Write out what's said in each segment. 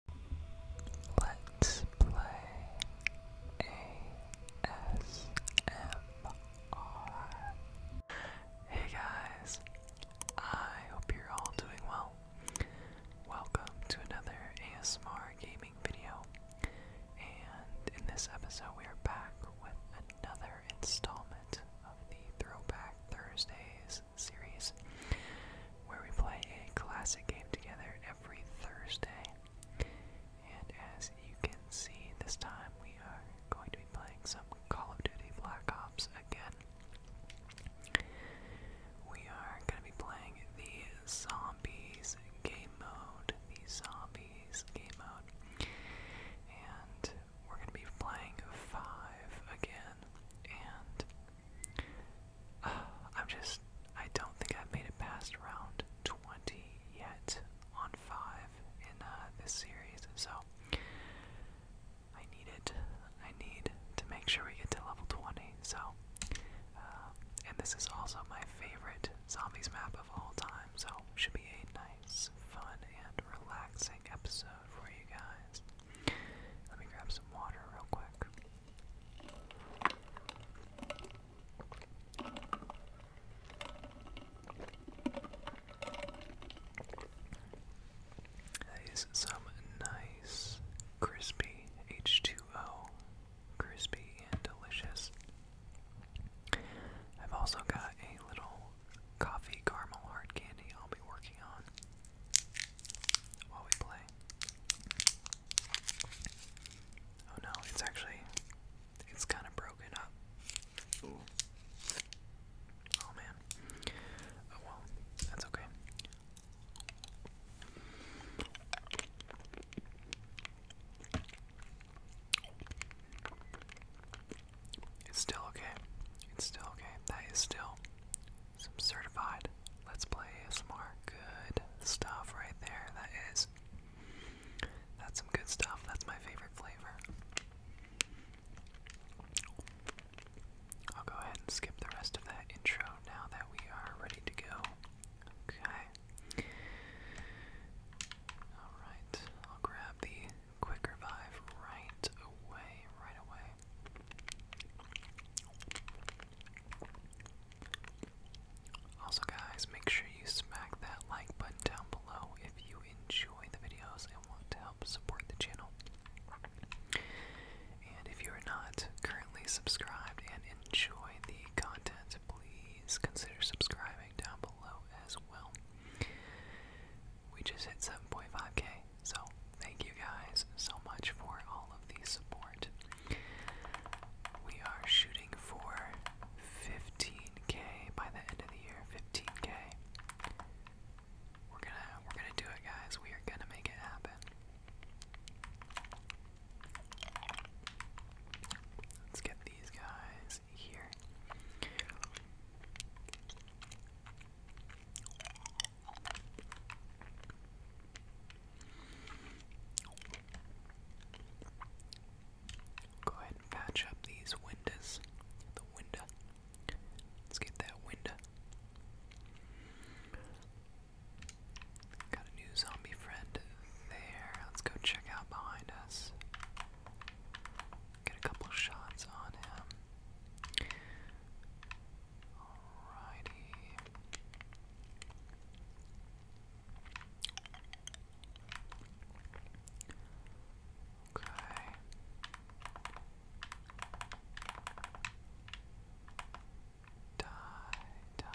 Hey guys, I hope you're all doing well. Welcome to another ASMR gaming video. And in this episode, we are back with another installment of the Throwback Thursdays series, where we play a classic game together every Thursday. And as you can see, this time we are going to be playing some Call of Duty Black Ops again. We are going to be playing the Zombies game mode, the Zombies game mode, and we're going to be playing 5 again, and I'm just, I don't think I've made it past round 20 yet on 5 in uh, this series, so I need it. I need to make sure we get to level 20, so. Uh, and this is also my favorite zombies map of all time, so should be a nice, fun, and relaxing episode for you guys. Let me grab some water real quick. That is some nice, crispy H2O. Crispy and delicious. I've also got a little coffee caramel hard candy I'll be working on while we play. Oh no, it's actually it's kind of broken up. Oh man. Oh well, that's okay. It's still okay. It's still okay. That is still some certified Let's Play some more Good stuff right there. That is. That's some good stuff. That's my favorite flavor. I'll go ahead and skip the rest of that intro now that we are ready to go. Okay. Alright, I'll grab the quick revive right away, right away, also, guys, make sure you smack that like button down below if you enjoy the videos and want to help support the channel. And if you are not currently subscribed and enjoy the content, please consider subscribing down below as well. We just hit 7.5k, so, thank you guys so much for all of the support. We are shooting for 15k by the end of the year. 15k. We're gonna we're gonna do it, guys. We are gonna make it happen. Let's get these guys here. Go ahead and patch up these windows. The window. Let's get that window. Got a new zombie friend there. Let's go check out behind us. Get a couple shots on him. Alrighty. Okay. Die, die.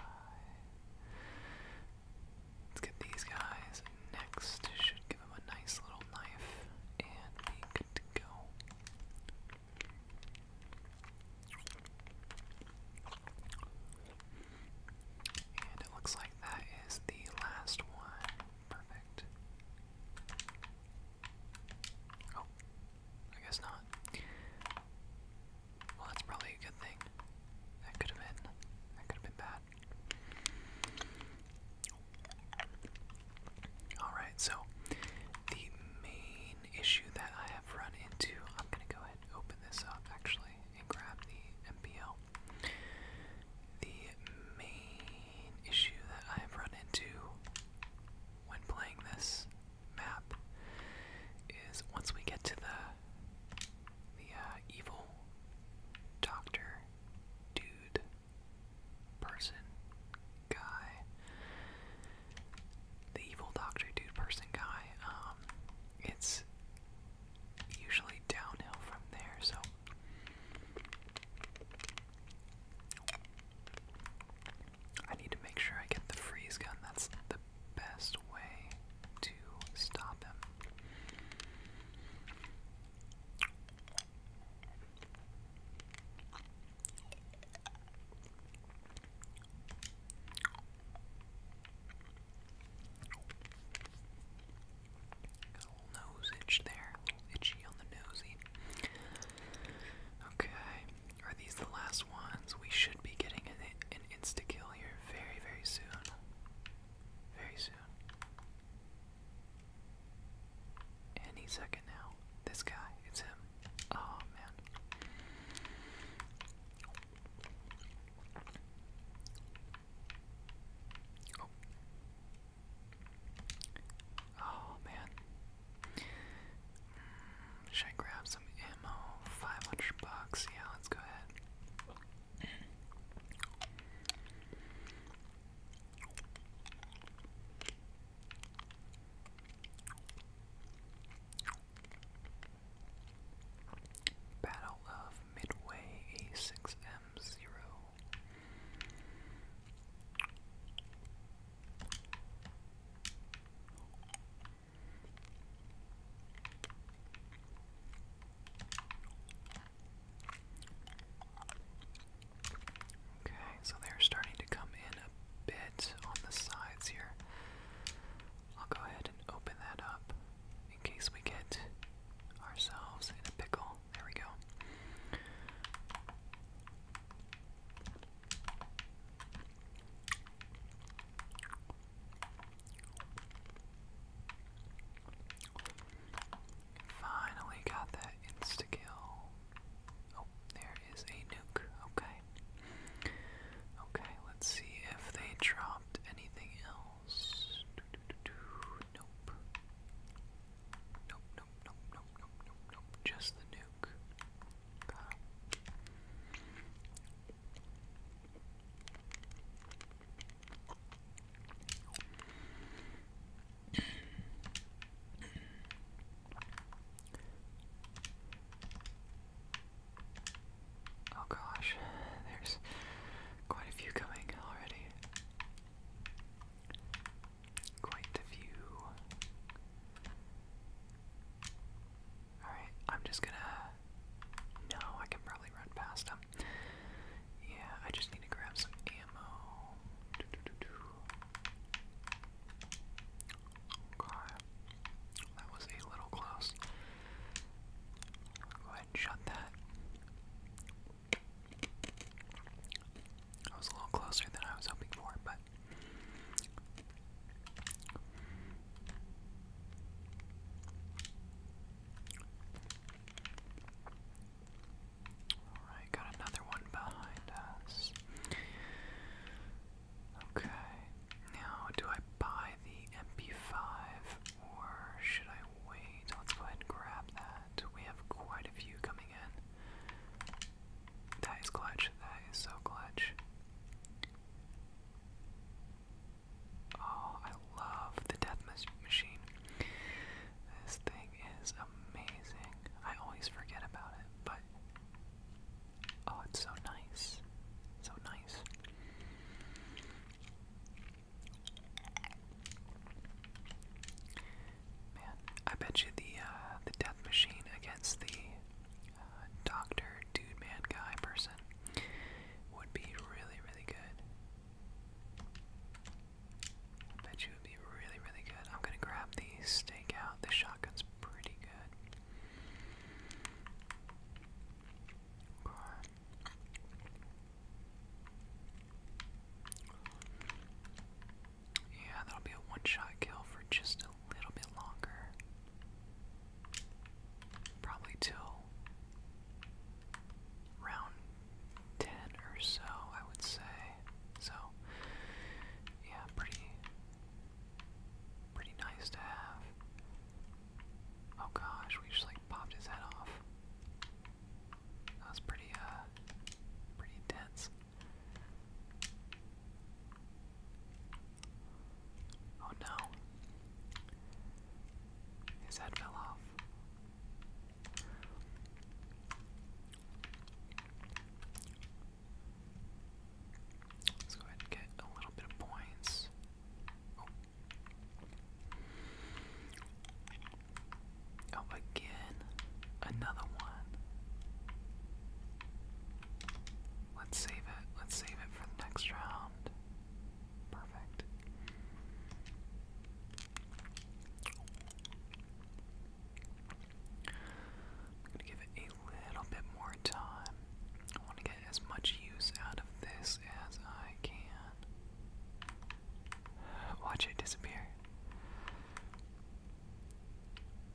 Let's get these guys next. Should give him a nice little knife and be good go. And it looks like that is the last one. Perfect. Oh, I guess not. Well, that's probably a good thing. That could have been. That could have been bad. Alright, so the main issue that I have run into. I'm going to go ahead and open this up actually and grab the MBL. The main issue that I have run into when playing this map is once we get to the the uh, evil doctor dude person guy the evil doctor dude person guy, um, it's usually downhill from there, so I need to make sure I get the freeze gun. That's the best way to stop him. Got a little nose itch there, a little itchy on the nosy. Okay, are these the last ones? We should be getting an, an insta kill here very, very soon. Very soon. Any second now. This guy, it's him. Oh man. Oh. man. Hmm, should I grab some ammo? 500 bucks. Yeah, let's go ahead. Battle of Midway A6M0. Okay, so they're starting to come in a bit on the sides here. I'll go ahead and open that up in case we get ourselves in a pickle. There we go. Finally got that insta kill. Oh, there is a nuke. Okay. Okay, let's see if they dropped anything else. Nope. Nope, nope, nope, nope, nope, nope, Just the nuke. Oh gosh, there's quite a few coming already. Quite a few. Alright, I'm just gonna. No, I can probably run past them. Yeah, I just need to grab some ammo. Okay. That was a little close. Go ahead and shut that. I was a little closer than I was hoping for, but Alright, got another one behind us. Okay, now do I buy the MP5 or should I wait? Let's go ahead and grab that. We have quite a few coming in. That is clutch. That is so clutch. Oh, I love the death machine. This thing is amazing. I always forget about it, but Oh, it's so nice. So nice. Man, I bet you the uh, the death machine against the uh, doctor, dude, man, guy person would be really, really good. I bet you would be really, really good. I'm gonna grab the stakeout, the yeah, that'll be a one-shot kill for just a little bit longer. Probably till round 10 or so, I would say. So, yeah, pretty, pretty nice to have. Oh gosh, we just like popped his head off. That was pretty, uh, pretty dense. Oh no. His head fell off. Let's go ahead and get a little bit of points. Oh, oh. again, another one. Let's save it. Let's save it for the next round. Perfect gonna give it a little bit more time. I want to get as much use out of this as I can. Watch it disappear.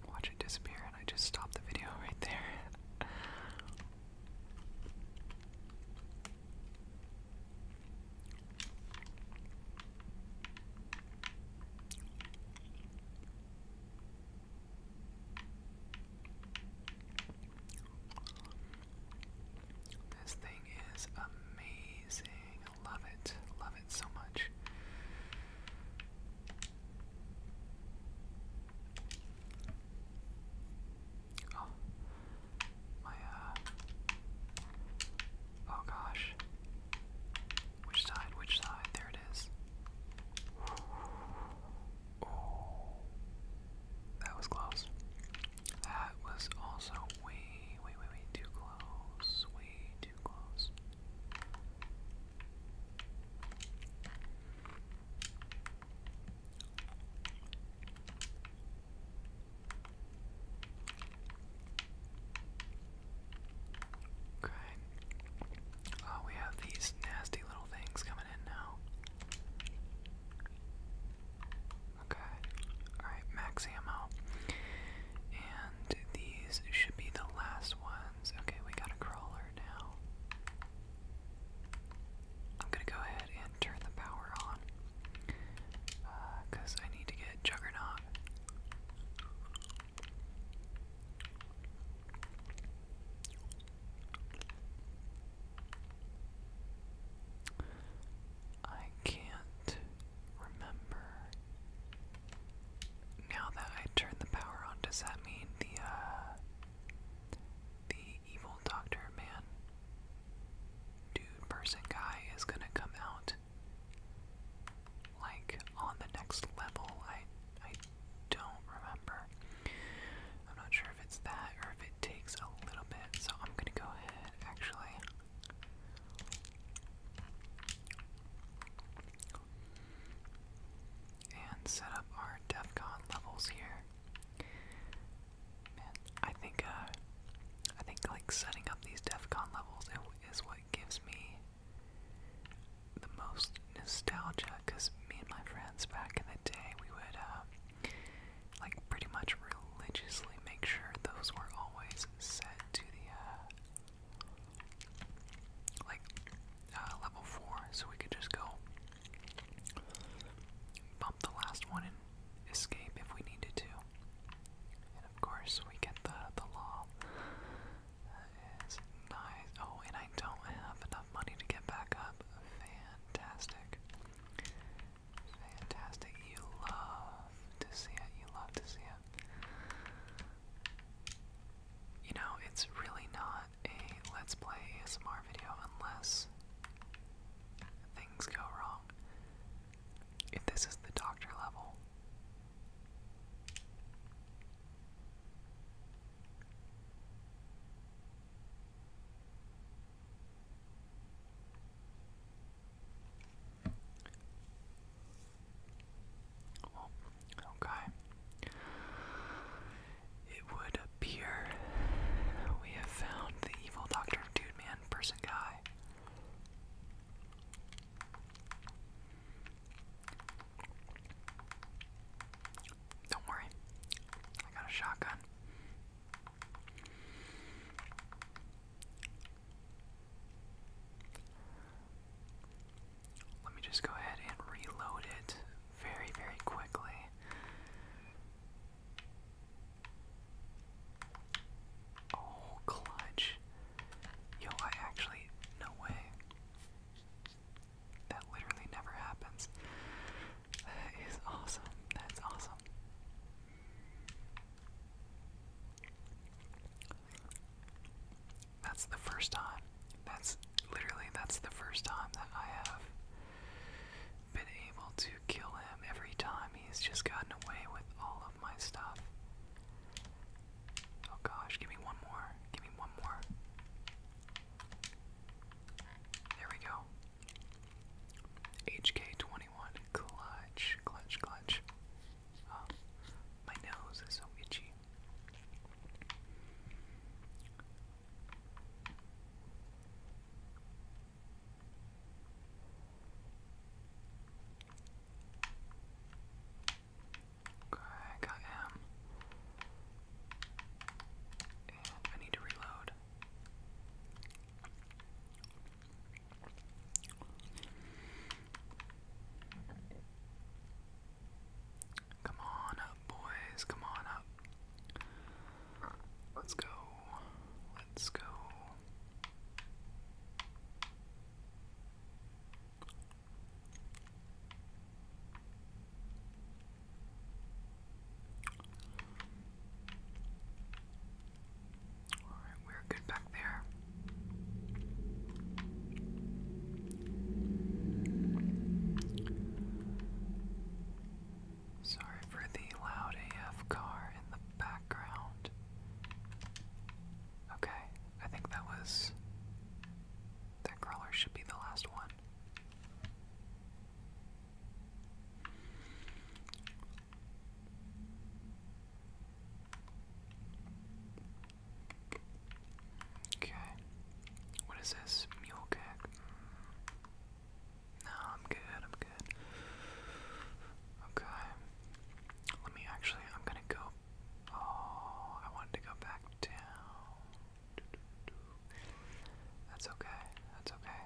Watch it disappear, and I just stopped the video right there. This thing is amazing. I love it. Love it so much. Oh, my, uh, oh gosh. Which side? Which side? There it is. Oh. that was close. That was also way, way, way, way too close. Way too close. Okay. Oh, we have these nasty little things coming in now. Okay. Alright, max ammo. And these should be the last ones. Okay, we got a crawler now. I'm gonna go ahead and turn the power on. Because uh, I need to get Juggernaut. I can't remember. Now that I turned the power on, does that mean the uh, the evil doctor man dude person guy is gonna come out like on the next level. I I don't remember. I'm not sure if it's that or if it takes a little bit. So I'm gonna go ahead actually. And set up our DEFCON levels here. Man, I think uh, I think like setting up these DEFCON levels is what gives me the most nostalgia because me and my friends back in the day we would uh, like pretty much religiously make sure those were always set to the uh, like uh, level four so we could just go bump the last one and escape if we needed to and of course we get the the law Oh, and I don't have enough money to get back up. Fantastic. Fantastic. You love to see it. You love to see it. You know, it's really not a Let's Play ASMR video unless things go wrong. If this is the doctor level, okay. It would appear we have found the evil Doctor Dude Man person guy. Don't worry, I got a shotgun. Let me just go ahead and reload it very, very quickly. Oh, clutch. Yo, I actually, no way. That literally never happens. That is awesome. That's awesome. That's the first time. That's literally that's the first time that I have been able to kill him every time he's just gotten away with all of my stuff. Oh gosh, give me one more. Give me one more. There we go. HK21. Clutch, clutch, clutch. Oh, my nose is so itchy. Okay, I got him. And I need to reload. Come on up, boys. Come on up. Let's go. Let's go. All right, we're good back there. Sorry for the loud AF car in the background. Okay, I think that was. That crawler should be the last one. Okay. What is this? Mule kick? No, I'm good, I'm good. Okay. Let me actually, I'm gonna go Oh, I wanted to go back down. That's okay. That's okay.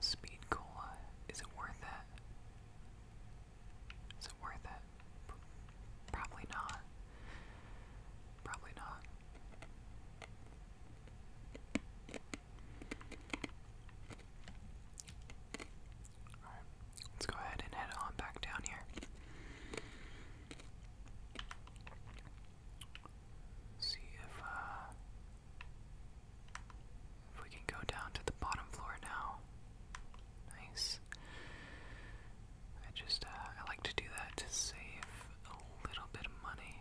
Speed cola. Is it worth it? Is it worth it? Probably not. Probably not let's go ahead and head on back down here. See uh, if, we can go down to the bottom floor now. Nice. I just, uh, I like to do that to save a little bit of money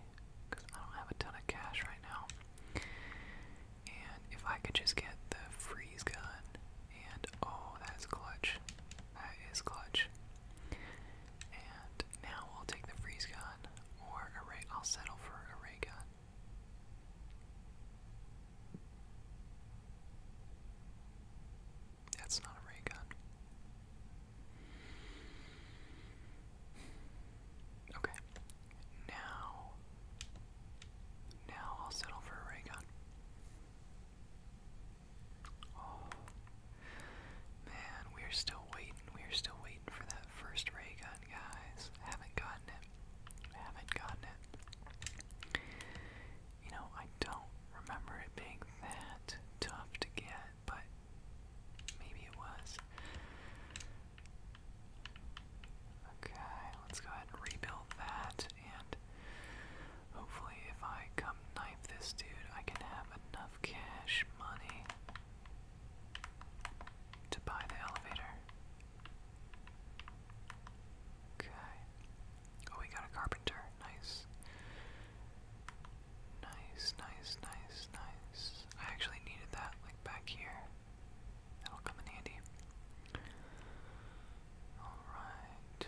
because I don't have a ton of cash right now. And if I could just get the freeze gun, and oh, that is clutch. That is clutch. And now I'll take the freeze gun, or a ray. I'll settle for a ray gun. That's not a ray gun. Okay. Now now I'll settle for a ray gun. Oh man, we're still waiting. We're still waiting for that first ray gun, guys. haven't gotten it. haven't gotten it. You know, I don't remember it being that tough to get, but maybe it was. Okay, let's go ahead and rebuild that, and hopefully if I come knife this dude, I can have enough cash money to buy the elevator. Okay. Oh, we got a carpenter. Nice. Nice, nice, nice, nice. I actually needed that, like, back here. That'll come in handy. Alright.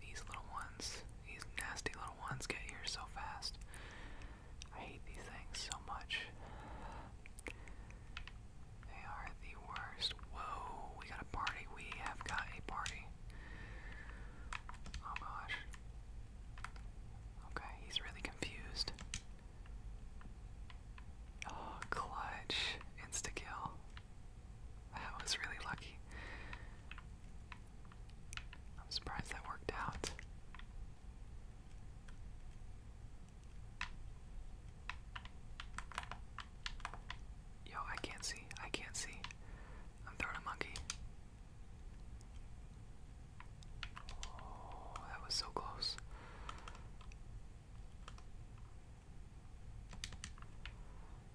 These little ones, these nasty little ones get here so fast. I hate these things so much. They are the worst. Whoa, we got a party. We have got a party. Oh gosh. Okay, he's really confused. Oh, clutch. Insta kill. That was really lucky. I'm surprised that worked out. Yo, I can't see. I can't see. I'm throwing a monkey. Oh, that was so close.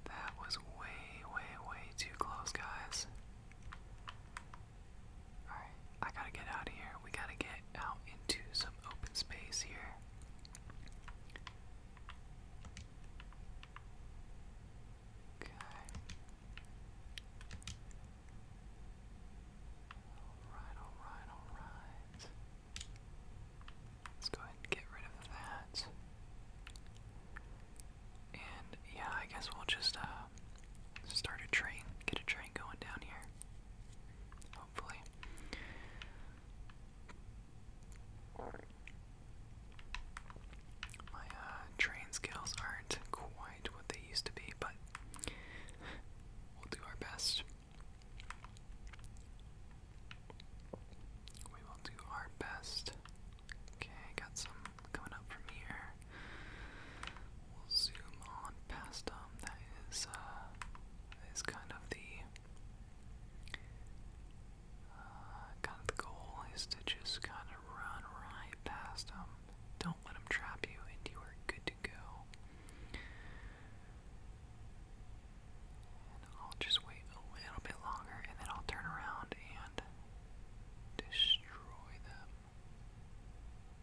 That was way, way, way too close, guys. Alright, I gotta get out of here. We gotta get out into some open space here. Okay. Alright, alright, alright. Let's go ahead and get rid of that. And yeah, I guess we'll just uh, start a train, get a train going down here. Hopefully. My uh, train skills aren't quite what they used to be, but we'll do our best. We will do our best. Okay, got some coming up from here. We'll zoom on past them. Um, that is uh, is kind of the uh, kind of the goal is to just kind of run right past them. Don't let them trap you, and you are good to go. I'll just wait a little bit longer, and then I'll turn around and destroy them.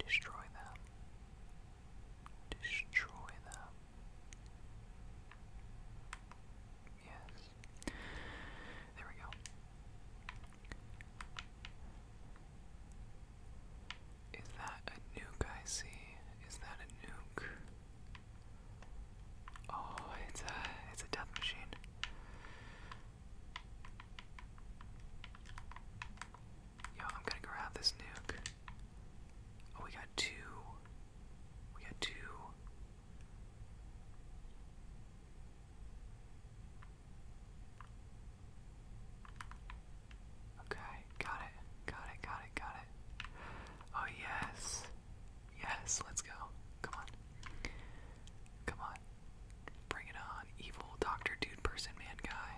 Destroy them destroy them. Yes. There we go. Is that a nuke I see? Is that a nuke? Oh, it's a it's a death machine. Yo, I'm gonna grab this nuke. Oh, we got two. We got two. Okay, got it, got it, got it, got it. Oh, yes. Yes, let's go. Come on. Come on. Bring it on, evil doctor, dude, person, man, guy.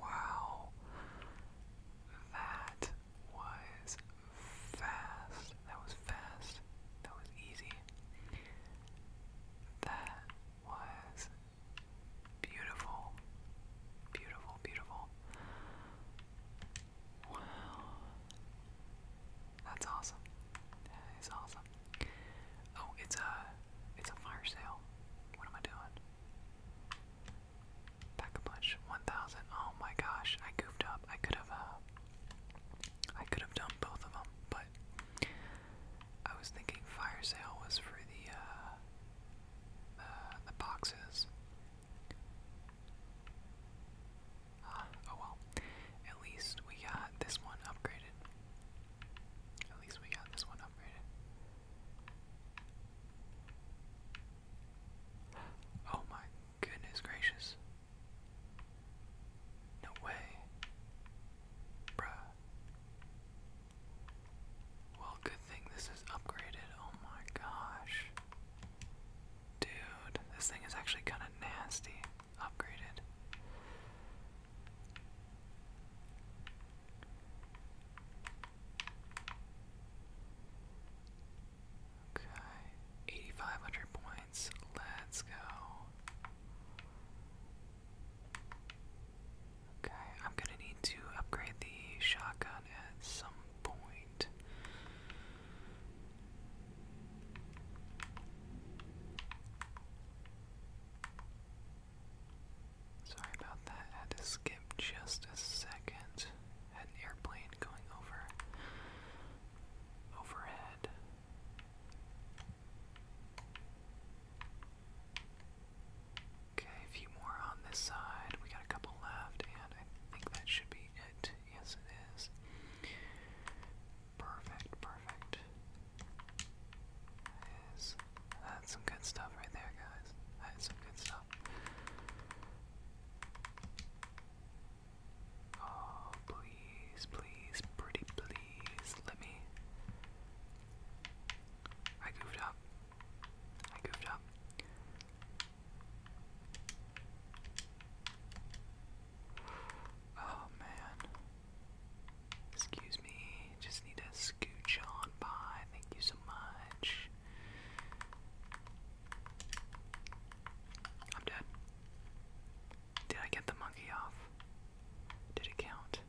Wow. That was fast. That was fast. That was easy. That was beautiful. Beautiful, beautiful. Wow. That's awesome. That is awesome. Oh, it's a it's a fire sale. What am I doing? Back a bunch. 1,000. Oh my gosh, I goofed up. I could have, uh, I could have done both of them, but I was thinking fire sale was for the, uh, the, boxes. Uh, oh well. At least we got this one upgraded. At least we got this one upgraded. Oh my goodness gracious. No way. Bruh. Well, good thing this is upgraded. Oh my gosh. Dude, this thing is actually kind of nasty. Upgraded. Okay, 8,500 points. Let's go. Okay, I'm gonna need to upgrade the shotgun at some point. Sorry about that. I had to skip just a second. Had an airplane going over overhead. Okay, a few more on this side. We got a couple left, and I think that should be it. Yes, it is. Perfect, perfect that's some good stuff right there, guys. That's some good stuff. Oh, please, please, pretty please, let me. I goofed up. I goofed up. Oh man. Excuse me, just need to scooch on by. Thank you so much. I'm dead. Did I get the monkey off? Did it count?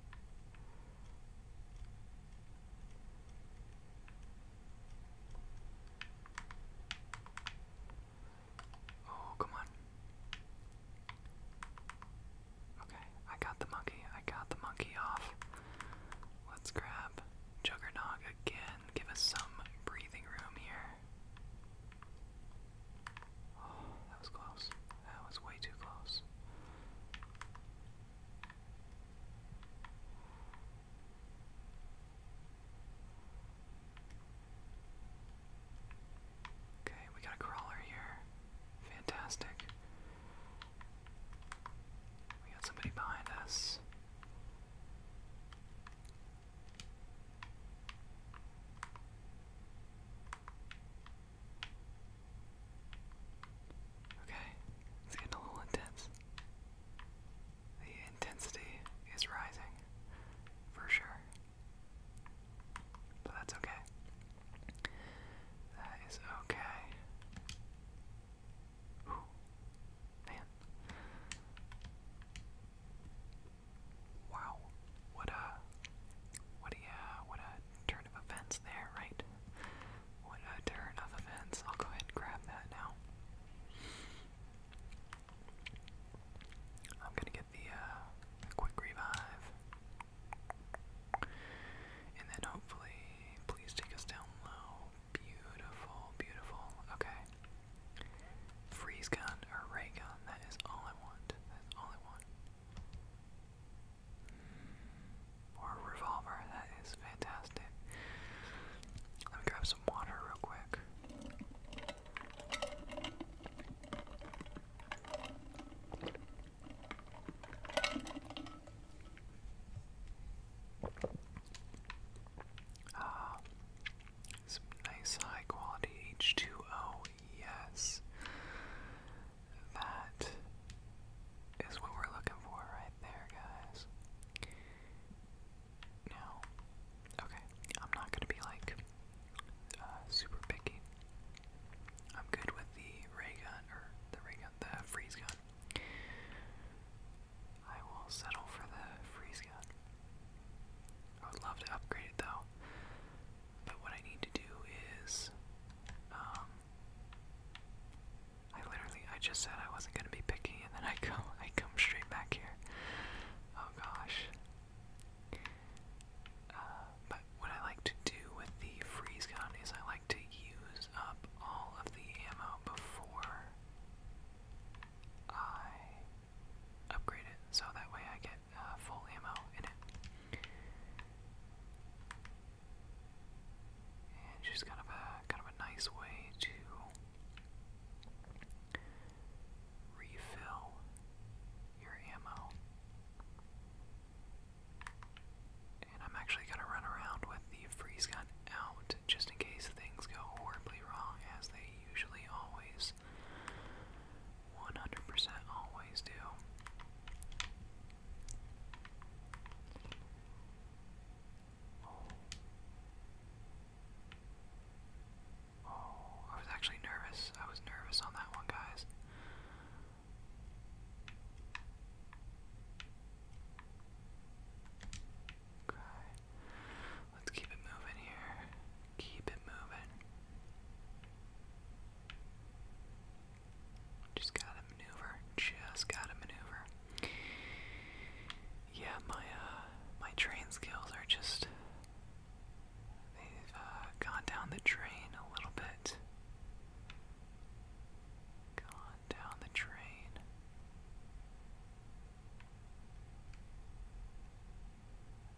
Oh, come on. Okay, I got the monkey. I got the monkey off. Let's grab Juggernog again. Give us some breathing room here. Oh, that was close. That was way too close. Okay, we got a crawler here. Fantastic. We got somebody behind us. Okay, it's getting a little intense. The intensity is rising, for sure. But that's okay. That is okay. man. Wow. What a what a uh, what a turn of events there, right? What a turn of events. I'll go ahead and grab that now. I'm gonna get the uh, quick revive. And then hopefully, please take us down low. Beautiful, beautiful. Okay. Freeze gun or ray gun. That is all I want. That's all I want. Hmm. Or a revolver. That is fantastic. Let me grab some water real quick. Uh, some nice high quality H2O, yes. That is what we're looking for right there, guys. Now, okay, I'm not gonna be like uh, super picky. I'm good with the ray gun, or the ray gun, the freeze gun. I will settle for the freeze gun. I would love to upgrade it though. But what I need to do is, um, I literally, I just said I wasn't gonna be picky, and then I come, I come straight back here. Oh gosh. Uh, what I like to do with the freeze gun is I like to use up all of the ammo before I upgrade it, so that way I get uh, full ammo in it. And just kind of a kind of a nice way to refill your ammo. And I'm actually going to run around with the freeze gun out just in case things go horribly wrong, as they usually always, 100% always do. Oh. I was actually nervous. I was nervous on that one, guys. Okay. Let's keep it moving here. Keep it moving. Just gotta maneuver. Just gotta maneuver. Yeah, my uh, my train skills are just they've uh, gone down the drain a little bit. Gone down the drain.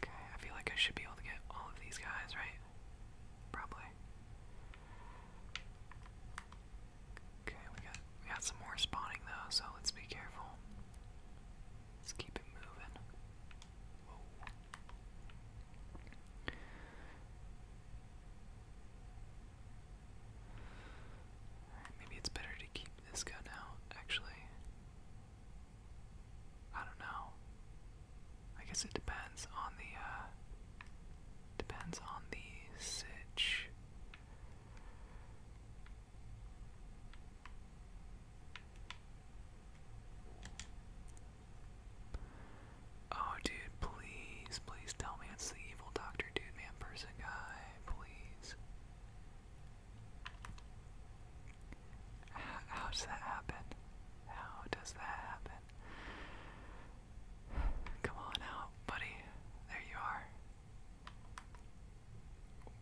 Okay, I feel like I should be able to get all of these guys, right? Probably. Okay, we got we got some more spawning though, so let's be careful. Let's keep it moving. Maybe it's better to keep this gun out, actually. I don't know. I guess it depends on the, uh, depends on the sitch. Oh, dude, please, please tell me it's the evil Doctor Dude Man Person guy, please. how does that happen? How does that happen? Come on out, buddy. There you are.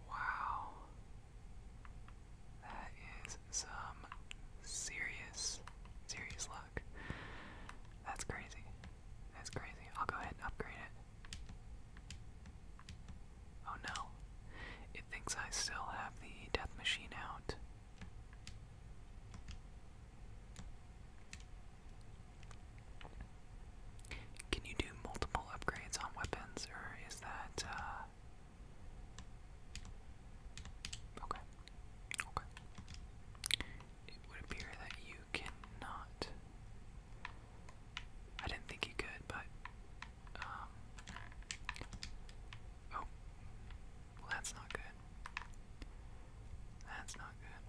Wow. That is some serious, serious luck. That's crazy. That's crazy. I'll go ahead and upgrade it. Oh no. It thinks I still have the death machine out. Can you do multiple upgrades on weapons, or is that uh, Okay. Okay. It would appear that you cannot. I didn't think you could, but. Um. Oh. Well, that's not good. That's not good.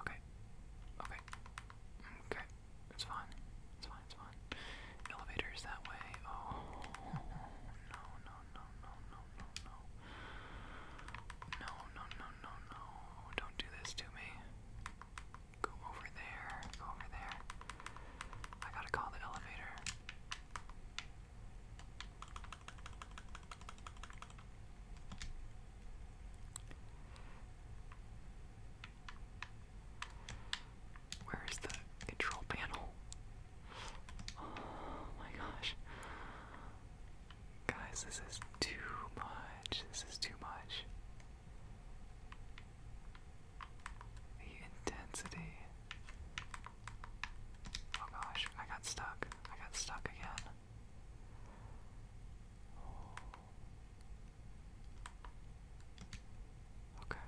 Okay. Okay. Okay. It's fine. It's fine. It's fine. Elevators that way. Oh no no no no no no no no no no no Don't do this to me. Go over there. Go over there. I gotta call the elevator. Where is the control panel? Oh my gosh. Guys, this is too much. This is too much. The intensity. Oh gosh, I got stuck. I got stuck again. Oh. Okay.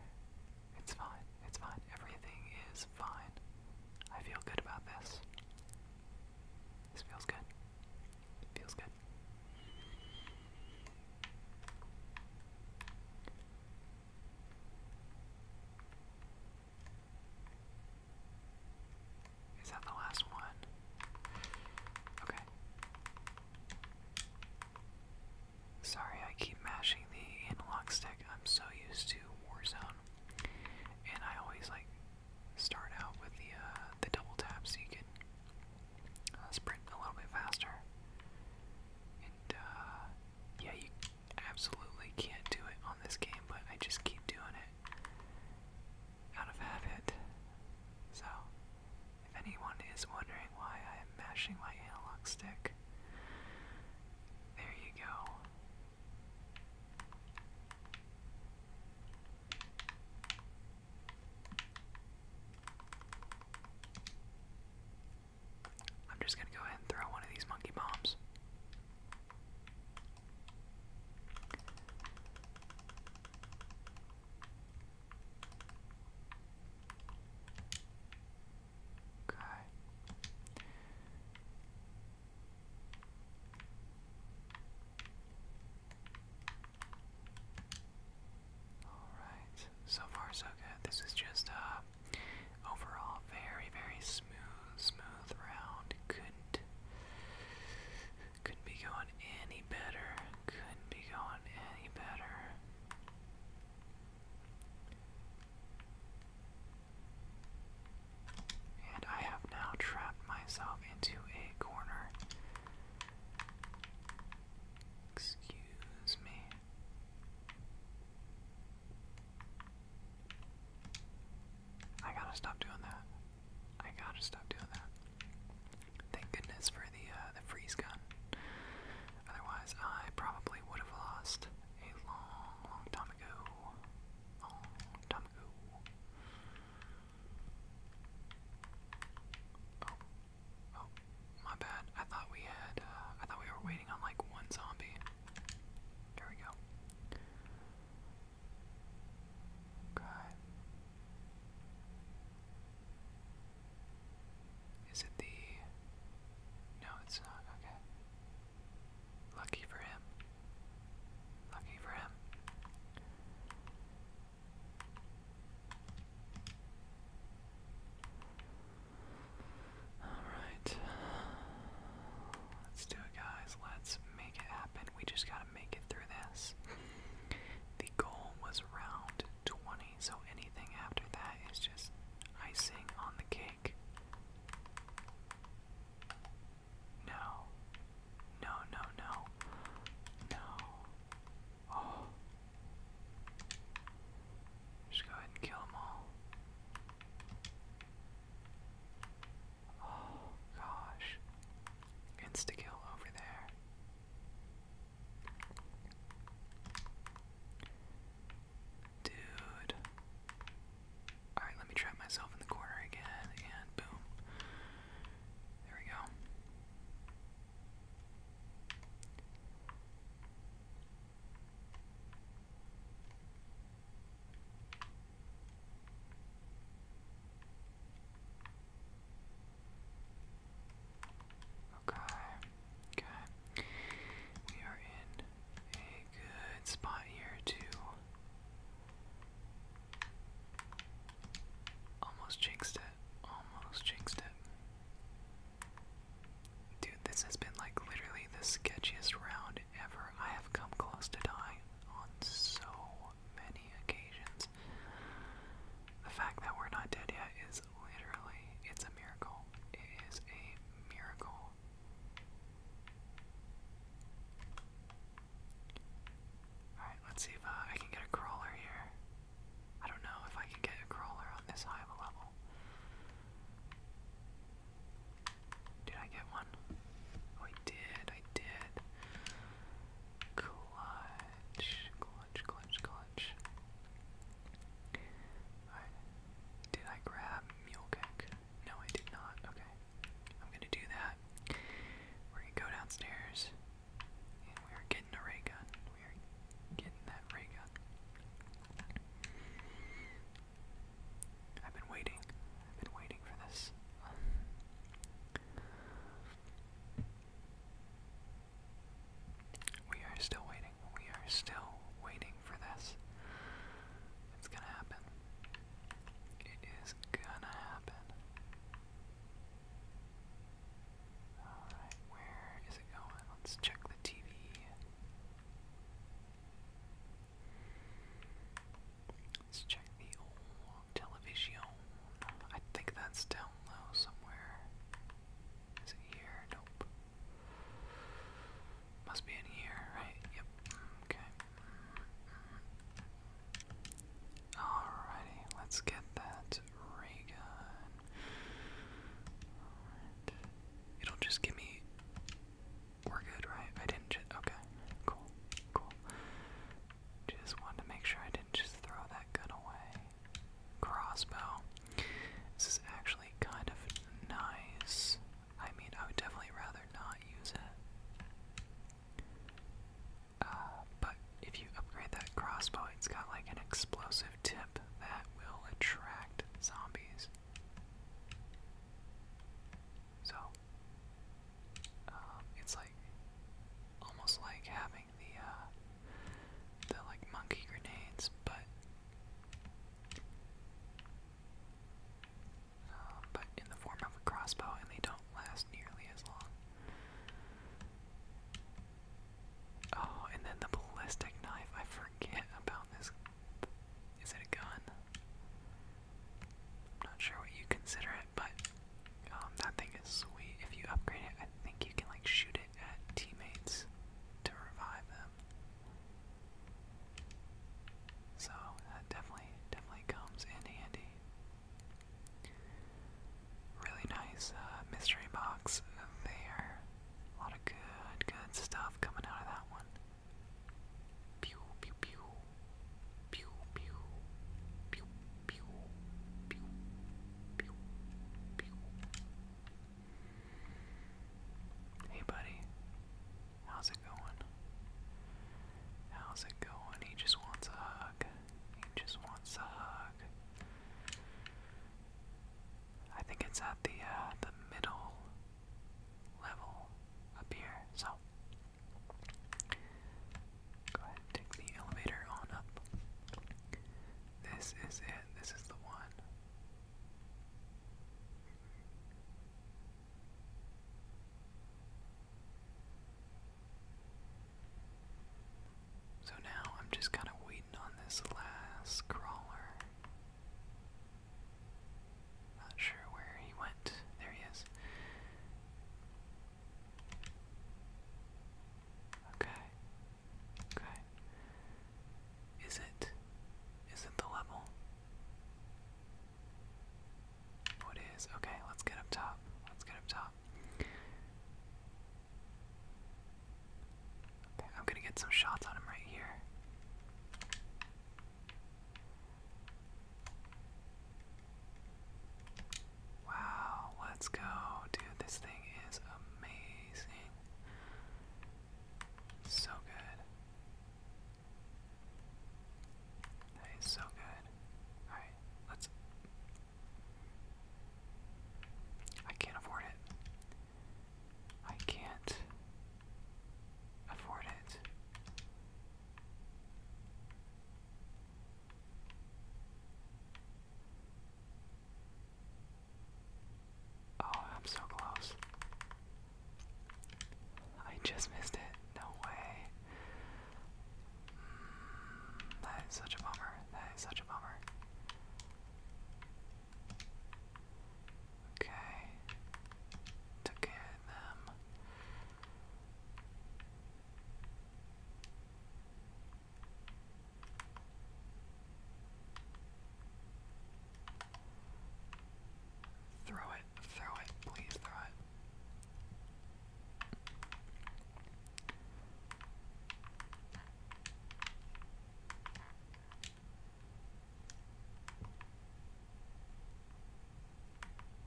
It's fine. It's fine. Everything is fine. I feel good about this. This feels good. feels good. Is that the last one? Okay. Sorry, I keep mashing the analog stick. I'm so used to Warzone, and I always like start out with the uh, the double tap so you can uh, sprint a little bit faster. And uh, yeah, you absolutely can't do it on this game, but I just keep doing it out of habit. So if anyone is wondering why I am mashing my analog stick, there you go. I'm just gonna go ahead and throw one of these monkey bombs. Okay. Alright, so far so good. This is just a uh, overall very, very smooth, smooth round. Couldn't couldn't be going any better. Couldn't be going and I have now trapped myself into a corner. Excuse me. I gotta stop doing that. I gotta stop doing that. Thank goodness for the uh, the freeze gun. Otherwise, I probably would have lost a long, long time ago. Long time ago. Oh, oh, my bad. I thought we had. Uh, I thought we were waiting on like one zombie. There we go. Okay. Is it the. No, it's not. Okay. Lucky for him. Lucky for him. Alright. Let's do it, guys. Let's make it happen. We just gotta make it through this. The goal was round 20, so anything after that is just icing on the cake. No. No, no, no. No. Oh. Just go ahead and kill them all. Oh gosh. Insta kill over there. Dude. Alright, let me trap myself in the corner again, and boom. There we go. Okay, okay. We are in a good spot here to almost jinxed it. Almost jinxed it. Dude, this has been like literally the sketchiest round ever. I have come close to dying on so many occasions. The fact that we're not dead yet is literally, it's a miracle. It is a miracle. Alright, let's see if uh, I can get a crawler here. I don't know if I can get a crawler on this high of a level. Did I get one? Oh, I did, I did. Clutch, clutch, clutch, clutch. Did I grab mule No, I did not. Okay. I'm gonna do that. We're gonna go downstairs. we're getting a ray gun. We're getting that ray gun. I've been waiting. I've been waiting for this. We are still waiting. We are still waiting for this. It's gonna happen. It is gonna happen. Alright, where is it going? Let's check the TV. Let's check the Television. I think that's down low somewhere. Is it here? Nope. Must be in here, right? Yep. Okay. Alrighty, let's get that ray It'll just give me. We're good, right? I didn't. Okay, cool, cool. Just wanted to make sure I didn't just throw that gun away. Crossbow. This is actually kind of nice. I mean, I would definitely rather not use it. Uh, but if you upgrade that crossbow, it's got like an explosive tip that will attract zombies. So, um, it's like almost like having the uh the like monkey grenades, but um, but in the form of a crossbow, and they don't last nearly as long. Oh, and then the ballistic knife. I forget about this. Is it a gun? I'm not sure what you consider it, but um, that thing is sweet. If you upgrade it, I think you can like shoot it at teammates to revive them. So that definitely, definitely comes in handy. Really nice uh, mystery box there. A lot of good, good stuff coming out of that one. Pew, pew, pew. Pew, pew. Pew, Hey, buddy. How's it going? How's it going? He just wants a hug. He just wants a hug. I think it's at the uh, the middle level up here. So Go ahead take the elevator on up. This is it. This is the one. So now I'm just kind of waiting on this last crawler. Not sure where he went. There he is. Okay. Okay. Is it is it the level? What oh, Okay, let's get up top. Let's get up top. Okay, I'm gonna get some shots on him right here. Wow, let's go. Dude, this thing is amazing. So good. That is so good. Alright, let's. I can't afford it. I can't afford it. Oh, I'm so close. I just missed it. No way. Mm, that is such a bummer. That is such a bummer. Okay. Took care them. Throw it, throw it, please throw it.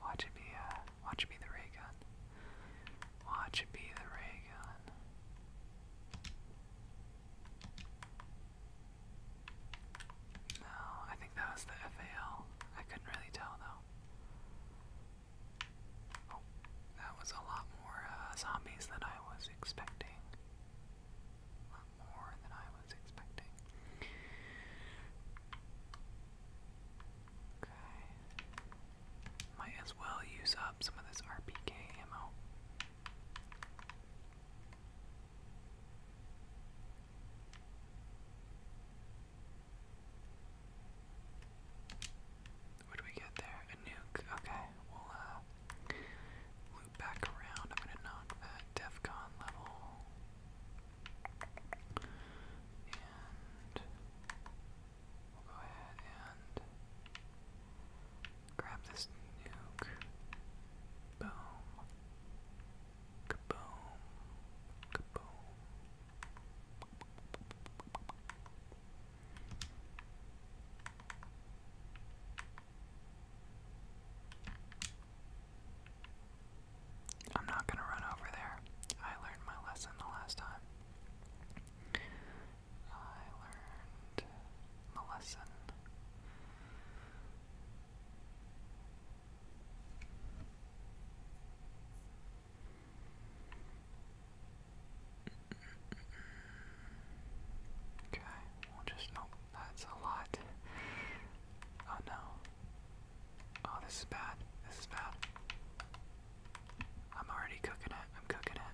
Watch it be uh, Watch it be the ray gun. Watch it be the ray gun. No, I think that was the FAL. I couldn't really tell though. Oh, that was a lot more uh, zombies than I was expecting. A lot more than I was expecting. Okay. Might as well use up some of this RPK ammo. What do we get there? A nuke. Okay, we'll uh, loop back around. I'm gonna knock that DEFCON level. And We'll go ahead and grab this nuke. Boom. Kaboom. Kaboom. I'm not going to run over there. I learned my lesson the last time. I learned my lesson. Okay, just, oh, that's a lot. Oh no. Oh, this is bad. This is bad. I'm already cooking it. I'm cooking it.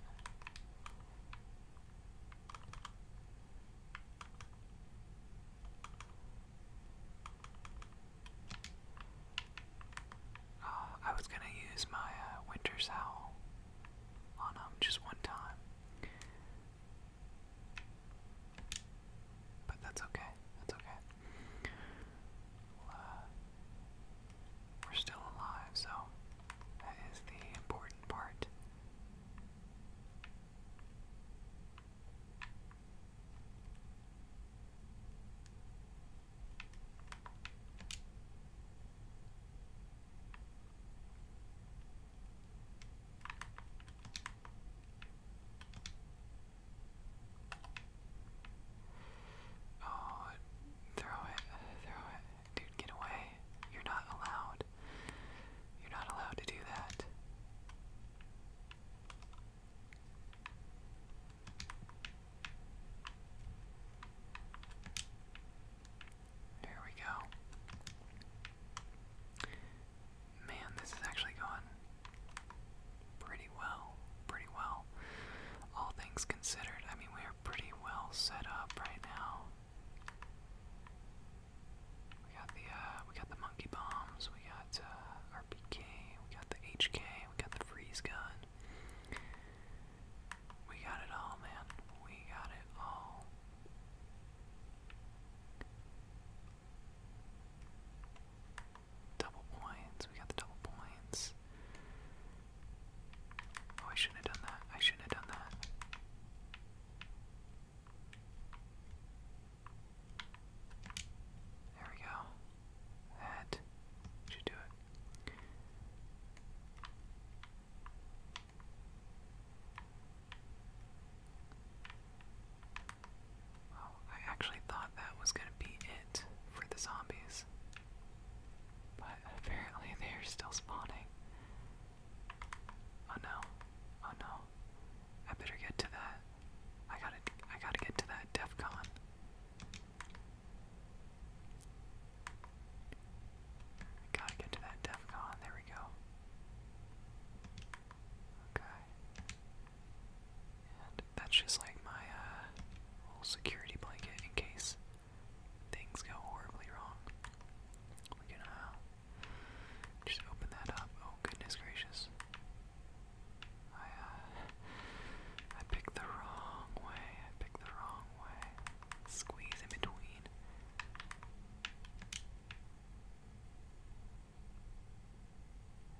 Ah, I was gonna use my uh, winter's on um, just one time, but that's okay. That's okay. Uh, we're still alive, so that is the important part. Oh, throw it, throw it. Dude, get away. You're not allowed. You're not allowed to do that. There we go. Man, this is actually going pretty well, pretty well. All things considered, I mean, we are pretty well set up right now. We got the uh, we got the monkey bombs, we got our uh, PK, we got the HK, we got the freeze gun. We got it all, man. We got it all. Double points. We got the double points. Oh, I shouldn't have done that. I shouldn't have done that. There we go. That should do it. Wow, I actually thought that was gonna be it for the zombies. But apparently they're still spawning. Oh no. Oh no. I better get to that. I gotta I gotta get to that DEFCON. gotta get to that DEFCON, there we go. Okay that's just like my uh, little security blanket in case things go horribly wrong. We can uh, just open that up. Oh goodness gracious! I uh, I picked the wrong way. I picked the wrong way. Squeeze in between.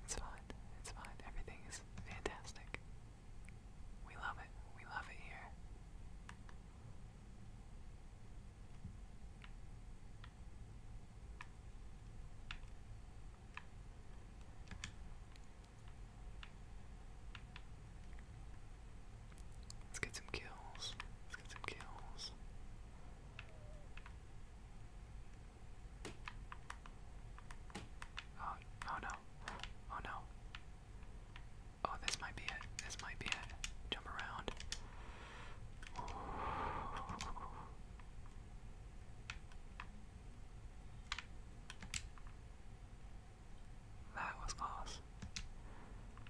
It's fine. It's fine. Everything is fantastic. We love it. We love it here. Let's get some kills. Let's get some kills. Oh, oh, no. Oh no. Oh, this might be it. This might be it. Jump around. That was close.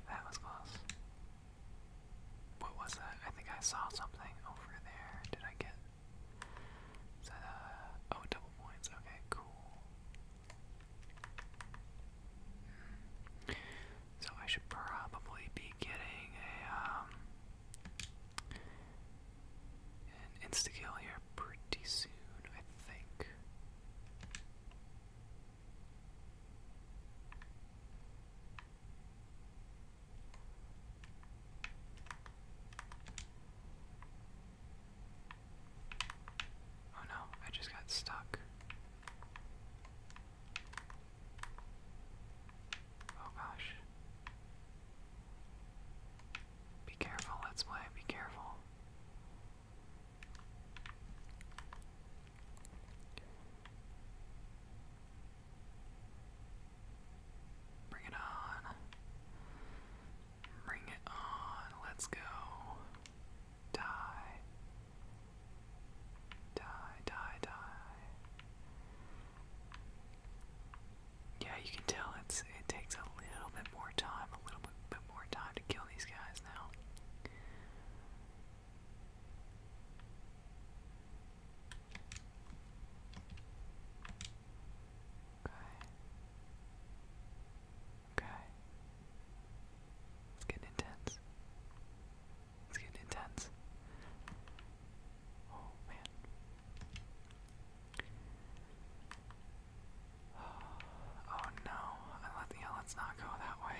That was close. What was that? I think I saw something over there. Did I get uh, oh, double points, okay, cool. So I should probably be getting a, um, an insta-kill here pretty soon, I think. Oh no, I just got stuck. Oh gosh. Be careful, let's play, be careful. Bring it on. Bring it on. Let's go. Die. Die, die, die. Yeah, you can tell it's it takes a little bit more time, a little bit, bit more time to kill these guys now. Okay. It's getting intense. It's getting intense. Oh man. Oh no. I let yeah, let's not go that way.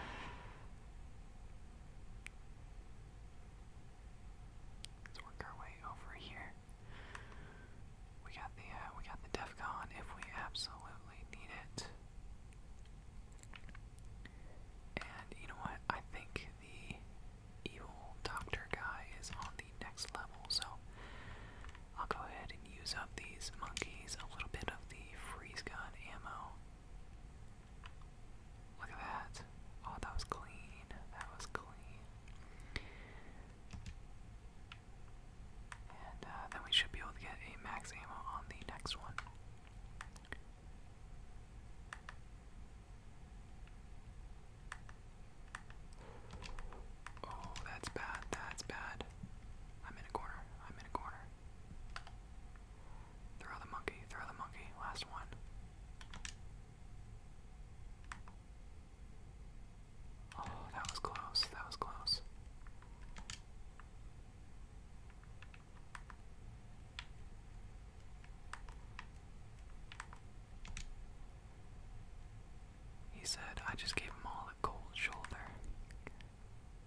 Let's work our way over here. We got the uh, we got the Defcon if we absolutely need it. And you know what? I think the evil doctor guy is on the next level, so I'll go ahead and use up these monkeys, a little bit of the freeze gun ammo. Look at that. Oh, that was clean. That was clean. And uh, then we should be able to get a max ammo on the next one. Oh, that's bad, that's bad. I'm in a corner, I'm in a corner. Throw the monkey, throw the monkey, last one. Oh, that was close. That was close. He said, I just gave him all a cold shoulder.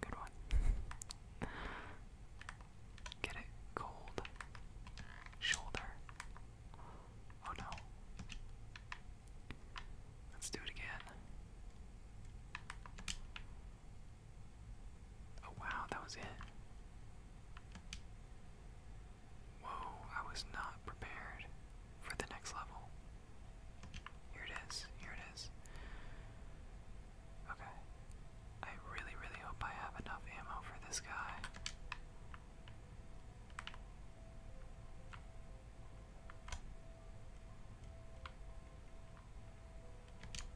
Good one. Get it? Cold shoulder. Oh no. Let's do it again. Oh wow, that was it. Whoa, I was not prepared for the next level. Here it is, here it is. Okay. I really, really hope I have enough ammo for this guy.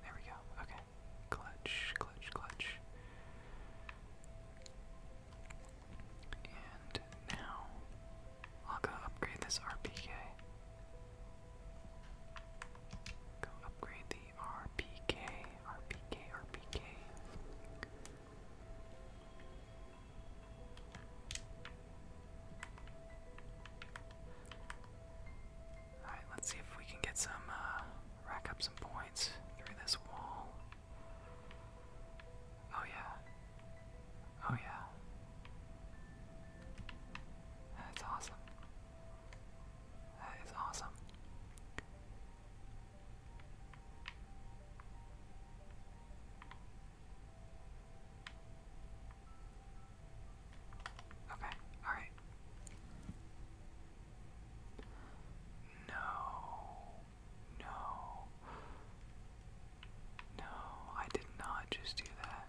There we go. Okay. Clutch, clutch, clutch. And now I'll go upgrade this RPG. Go upgrade the see RPK, RPK, RPK. Alright, let's see if we can get some, uh, rack up some points through this wall. Oh, yeah. Oh, yeah. That's awesome. That is awesome. Okay, alright. No, no, no, I did not just do that.